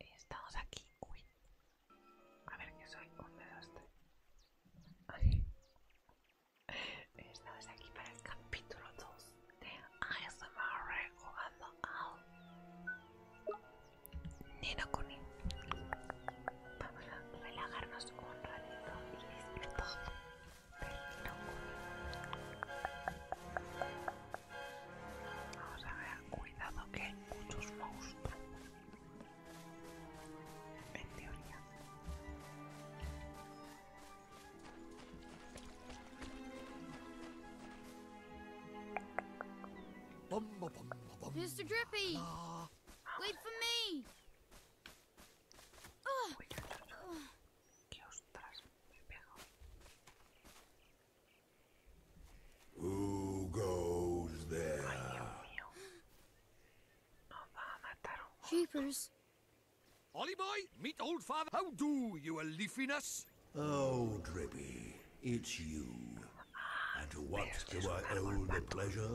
Estamos aquí. Uy. A ver que soy un de este Estamos aquí para el capítulo 2 de ASMR jugando a Nino Kuni. Vamos a relajarnos un ratito y disfrutar del Nino Kuni. Vamos a cuidado que muchos monstruos. En teoría. Mr. Drippy, wait for me. Who goes there? Jeepers. Ollie boy, meet old father. How do, you a leafiness? Oh, Drippy, it's you. And what do I owe the pleasure?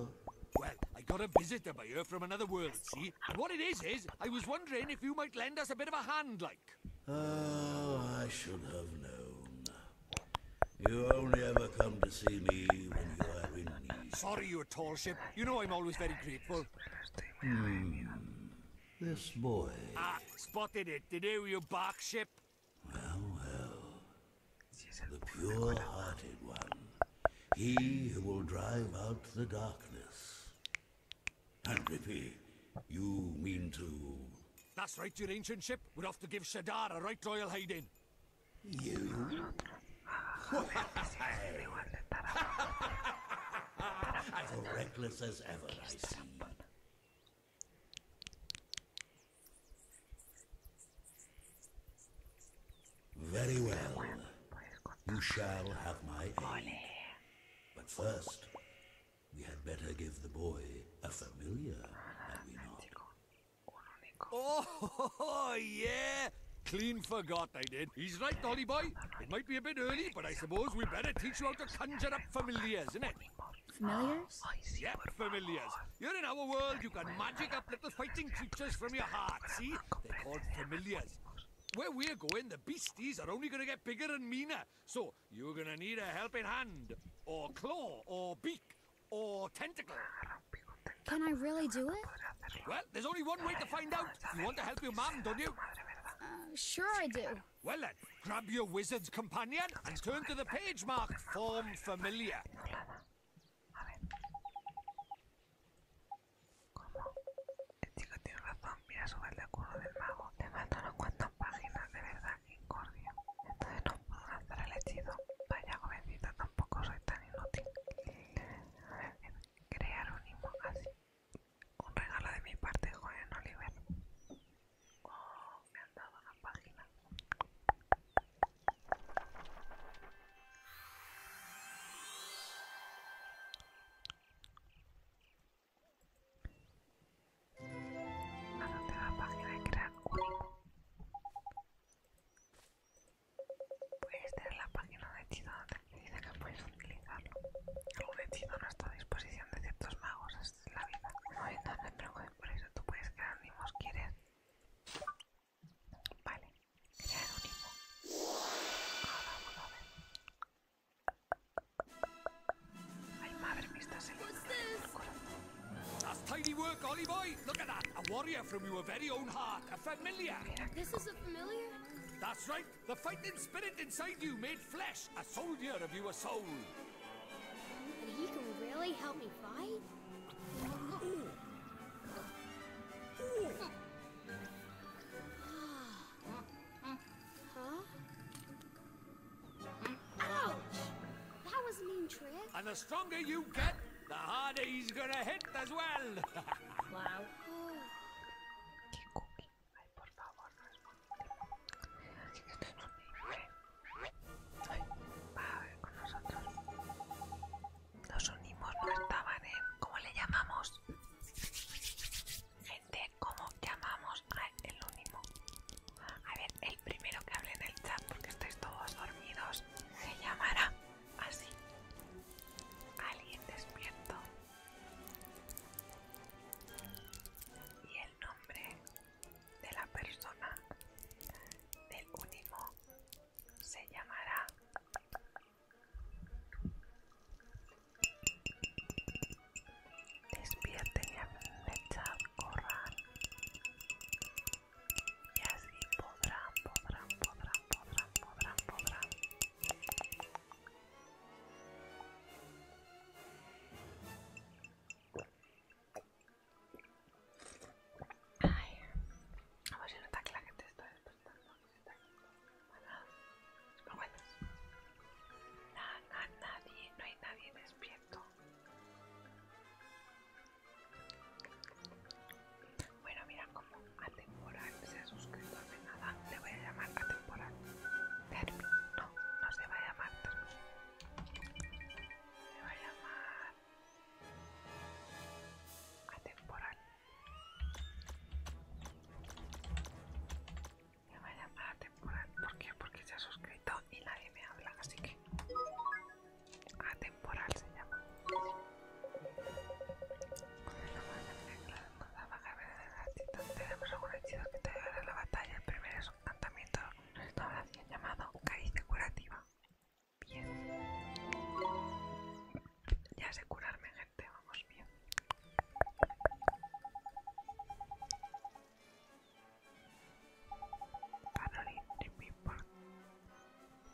Well, I got a visitor by her from another world, see? And what it is, is, I was wondering if you might lend us a bit of a hand, like. Oh, I should have known. You only ever come to see me when you are in need. Sorry, you tall ship. You know I'm always very grateful. Hmm. This boy. Ah, spotted it. Did you, you bark ship? Well, well. The pure-hearted one. He who will drive out the darkness. And Tanglipi, you mean to... That's right, your ancient ship. would have to give Shadar a right royal hiding. You? as reckless as ever, I see. Very well. You shall have my aid. But first, we had better give the boy a familiar, had we not? Oh, yeah! Clean forgot I did. He's right, Dolly boy. It might be a bit early, but I suppose we better teach you how to conjure up familiars, it? Familiars? Yep, familiars. You're in our world, you can magic up little fighting creatures from your heart, see? They're called familiars. Where we're going, the beasties are only going to get bigger and meaner. So, you're gonna need a helping hand, or claw, or beak, or tentacle. Can I really do it? Well, there's only one way to find out. You want to help your mom, don't you? Uh, sure I do. Well then, grab your wizard's companion and turn to the page marked Form Familiar. Entonces no puedo lanzar el hechizo. Vaya jovencita, tampoco soy tan inútil. Crear un himno así. Un regalo de mi parte, joven Oliver. Oh, me han dado una página. Anoté la página de crear único. Puedes tener la página de hechizo donde dice que puedes utilizarlo. Algún hechizo no está a disposición de ciertos magos, esta es la vida. No en tronco de por eso tú puedes crear si ¿quieres? Vale, crear un himo. Ahora vamos a ver. Ay, madre, me está That's tidy work, Ollie boy. Look at that. A warrior from your very own heart. A familiar. This is a familiar? That's right. The fighting spirit inside you made flesh. A soldier of your soul. And he can really help me fight? Huh? Ouch! That was mean trick. And the stronger you get, the harder he's gonna hit as well. wow. Qué cookie. Ay, por favor, que estoy bonito. Ay, va a ver con nosotros. Los unimos, no estaban, ¿eh? ¿Cómo le llamamos? de cómo llamamos al únimo. A ver, el primero que hable en el chat, porque estáis todos dormidos, se llamará así. Alguien despierto. Y el nombre de la persona del únimo se llamará Despierten y Mechad corran. Y así podrán, podrán, podrán, podrán, podrán, podrán. Ay, a ver si nota que la gente está despertando. Que se Nada, nadie, no hay nadie despierto. Bueno, mira cómo atemporal se ha suscrito de nada. Le voy a llamar atemporal. No, no se va a llamar le Se va a llamar atemporal me va a llamar atemporal, temporal. ¿Por qué? Porque se ha suscrito y nadie me habla, así que atemporal se llama. la de Tenemos un hechizo que te ayudará la batalla. El primero es un encantamiento de restauración llamado Caricia Curativa. Bien. Ya sé curarme, gente. Vamos bien. Panorín, no me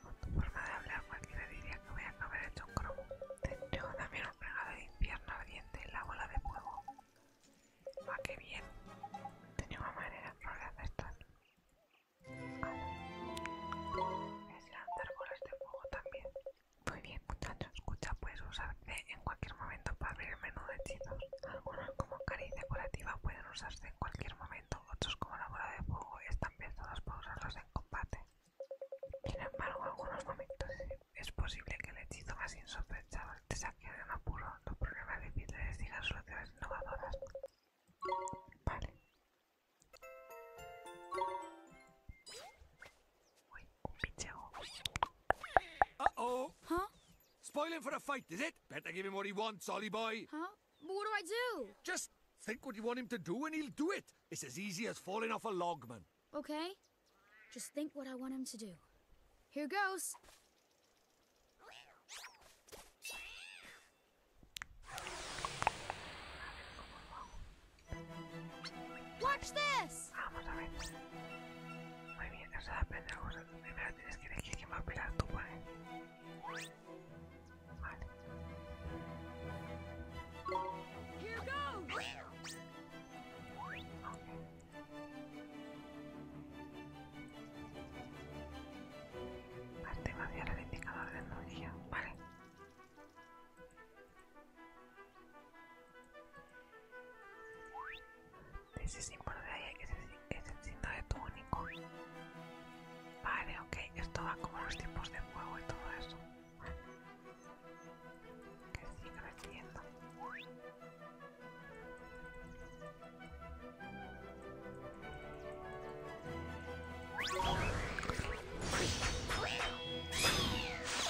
Con tu forma de hablar cualquiera diría que voy a acabar hecho un cromo. Te también un regalo de infierno ardiente la bola de fuego. Va ah, qué bien! Tenía una manera floral de esto. esto. es lanzar bolas de este fuego también. Muy bien muchachos, escucha puedes usarse en cualquier momento para abrir el menú de hechizos. Algunos como cariz decorativa pueden usarse en cualquier momento, otros como la bola de fuego están pensados para usarlos en combate. Sin embargo, en algunos momentos es posible que el hechizo más insospechado te saque de un apuro. Los problemas difíciles digan soluciones innovadoras. Vale. Wait, oh, Uh-oh. Huh? Spoiling for a fight, is it? Better give him what he wants, Ollie boy. Huh? what do I do? Just think what you want him to do and he'll do it. It's as easy as falling off a log, man. Okay. Just think what I want him to do. Here goes. Watch this! Vamos a ver. Muy bien, a depende de vosotros. Primero tienes que que me va a tu tú, ¿vale? Vale. Okay. indicador de energía, vale ese símbolo de ahí es el, es de tu único. Vale, ok, esto va como los tipos de fuego y todo eso. Que sigue creciendo.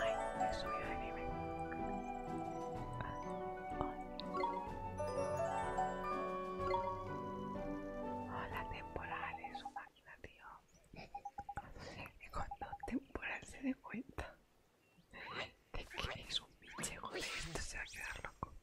Ay, me subí de nivel. Hola, es su máquina, tío. Y cuando temporal se dé cuenta de que es un pinche gole. esto se va a quedar loco.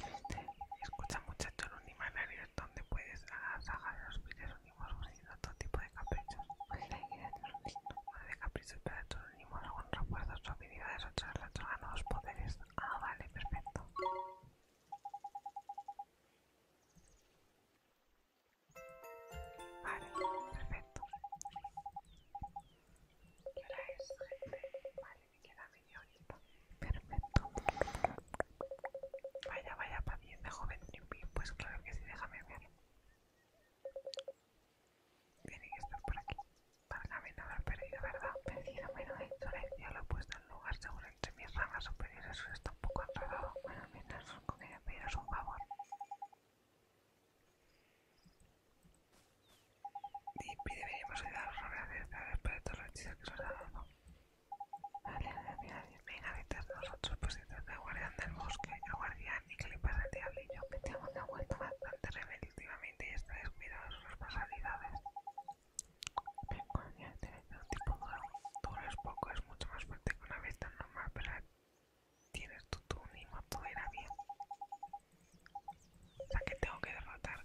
Este, escucha niños, en ni manera ¿Dónde donde puedes ah, sacar los pies unimos ofreciendo todo tipo de caprichos. Pues de un de caprichos para estos unimos algún de sus habilidades, otras las poderes. Ah, vale, perfecto. Vale, perfecto. ¿Qué hora es, Vale, me queda bien está Perfecto. Vaya, vaya, de joven Newbie. Pues claro que sí, déjame ver. Tiene que estar por aquí. Para no haber perdido, ¿verdad? Perdido, bueno, de insolencia lo he puesto en lugar seguro entre mis ramas superiores. Eso está un poco enredado. Bueno, mientras con ella pediros un favor. Y deberíamos ayudaros a ver después de todos los hechizos que os has dado. Venga detrás de nosotros, puestos de guardián del bosque. El guardián, ¿y para le pasa al yo Me temo que ha bastante y está descuidado de sus responsabilidades. Ven, guardián, eres un tipo duro. Duro es poco, es mucho más fuerte que una vista normal, pero tienes tu túnimo, todo irá bien. O sea que tengo que derrotar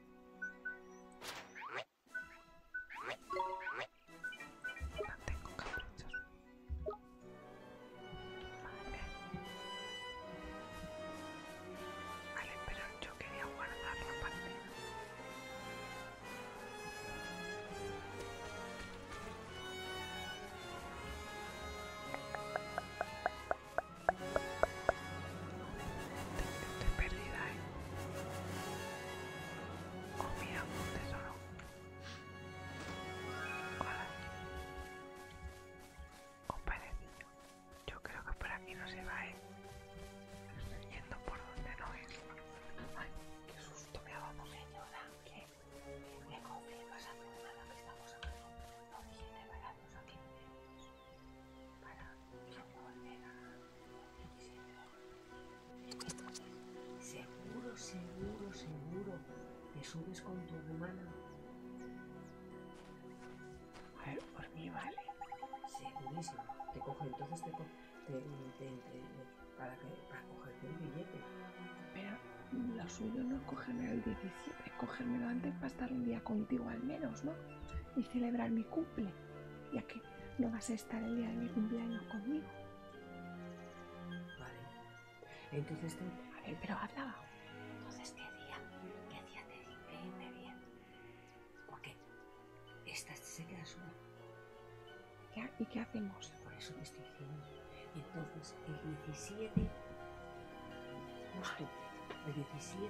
No tengo Vale. Vale, pero yo quería guardar la partida. Estoy perdida, ¿eh? Oh, mira, un tesoro. ¿O Un oh, Yo creo que por aquí no se va, ¿eh? Estoy yendo por donde no es. Ay, qué susto me hago dado, señora. Que me confirmas a mi hermana que estamos hablando. No dijiste, vayamos aquí para volver a Seguro, seguro, seguro te subes con tu hermana A ver, por mí vale. Segurísimo. Te coge entonces te para, que, para cogerte el billete. Pero lo suyo no es cogerme el 17, es lo antes para estar un día contigo al menos, ¿no? y celebrar mi cumple, ya que no vas a estar el día de mi cumpleaños conmigo. Vale. Entonces, te... a ver, pero hablaba. Entonces, ¿qué día? ¿Qué día te di bien? Porque esta se queda sola. ¿Y qué hacemos? Por eso te estoy diciendo. Entonces, el 17 el 17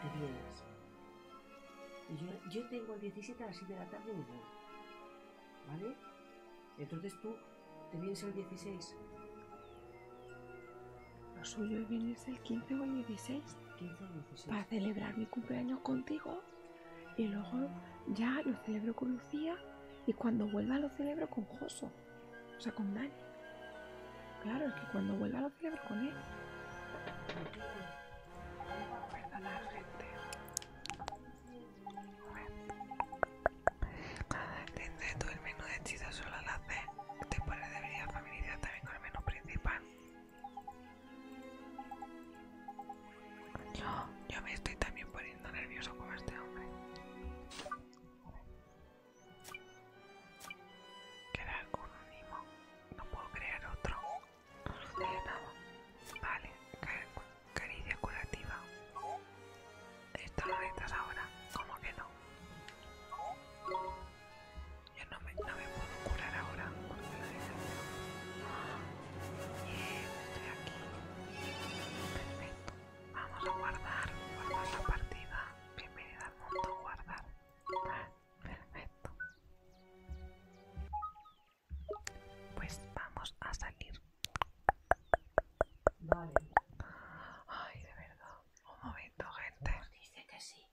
te vienes. yo, tengo el 17 a las 7 de la tarde ¿Vale? Entonces tú te vienes el 16. Lo suyo es el 15 o el 16. 16. Para celebrar mi cumpleaños contigo. Y luego ya lo celebro con Lucía. Y cuando vuelva lo celebro con Joso. O sea, con Dani. Claro, es que cuando vuelva lo ver con él. Perdonad, gente. Cada gente, tú el menú de chistes solo lo haces. Después deberías familiar también con el menú principal. Yo, yo me estoy también poniendo nervioso con este hombre. Queda un animo. No puedo crear otro. No sucede nada. Vale, caricia curativa. Esto no necesitas ahora. ¿Cómo que no? Yo no me, no me puedo curar ahora porque Bien, estoy aquí. Perfecto. Vamos a guardar, guardar la partida. Bienvenida guardar. Perfecto. Pues vamos a salir. Vale. Ay, de verdad. Un momento, gente. Nos pues dice que sí.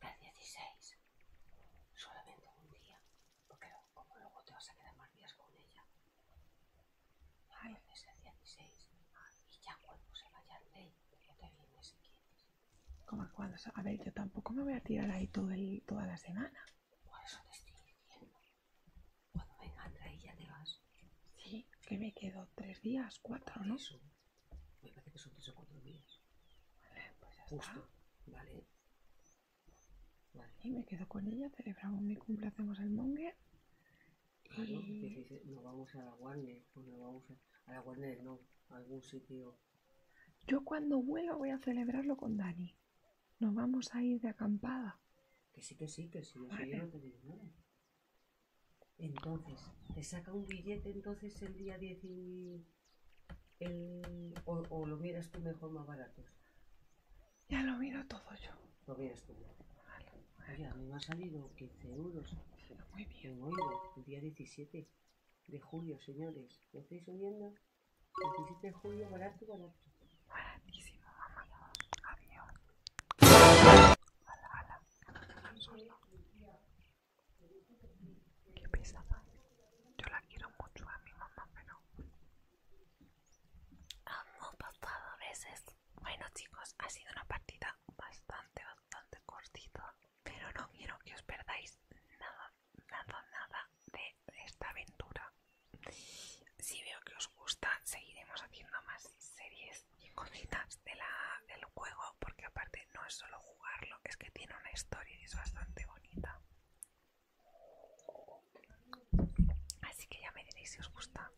el 16. Solamente un día. Porque como luego te vas a quedar más días con ella. Ay, es el 16. Y ya cuando se vaya el rey como a ver, yo tampoco me voy a tirar ahí toda la semana. Por eso te estoy diciendo. Cuando venga Andrea y ya te vas. Sí, que me quedo tres días, cuatro, ¿no? Eso. Me parece que son tres o cuatro días. Vale, pues ya Vale. Vale. Y me quedo con ella, celebramos mi cumple, hacemos el monger no nos vamos a la Warner, pues nos vamos a, la Warner, no, a algún sitio. Yo cuando vuelva voy a celebrarlo con Dani. Nos vamos a ir de acampada. Que sí, que sí, que sí, Entonces, te saca un billete entonces el día 10 y... o, lo miras tú mejor más barato. Ya lo miro todo yo. Lo miras tú a mí me ha salido 15 euros. muy bien. hoy, el día 17 de julio, señores. ¿Me estáis oyendo? 17 de julio, barato, barato. Baratísimo, mamá. Adiós. Ala, ala. Qué pesada. Yo la quiero mucho a mi mamá, pero... Hemos pasado veces. Bueno, chicos, ha sido una partida bastante, bastante cortito. Pero no quiero que os perdáis nada, nada, nada de esta aventura. Si veo que os gusta, seguiremos haciendo más series y cositas de la, del juego, porque aparte no es solo jugarlo, es que tiene una historia y es bastante bonita. Así que ya me diréis si os gusta.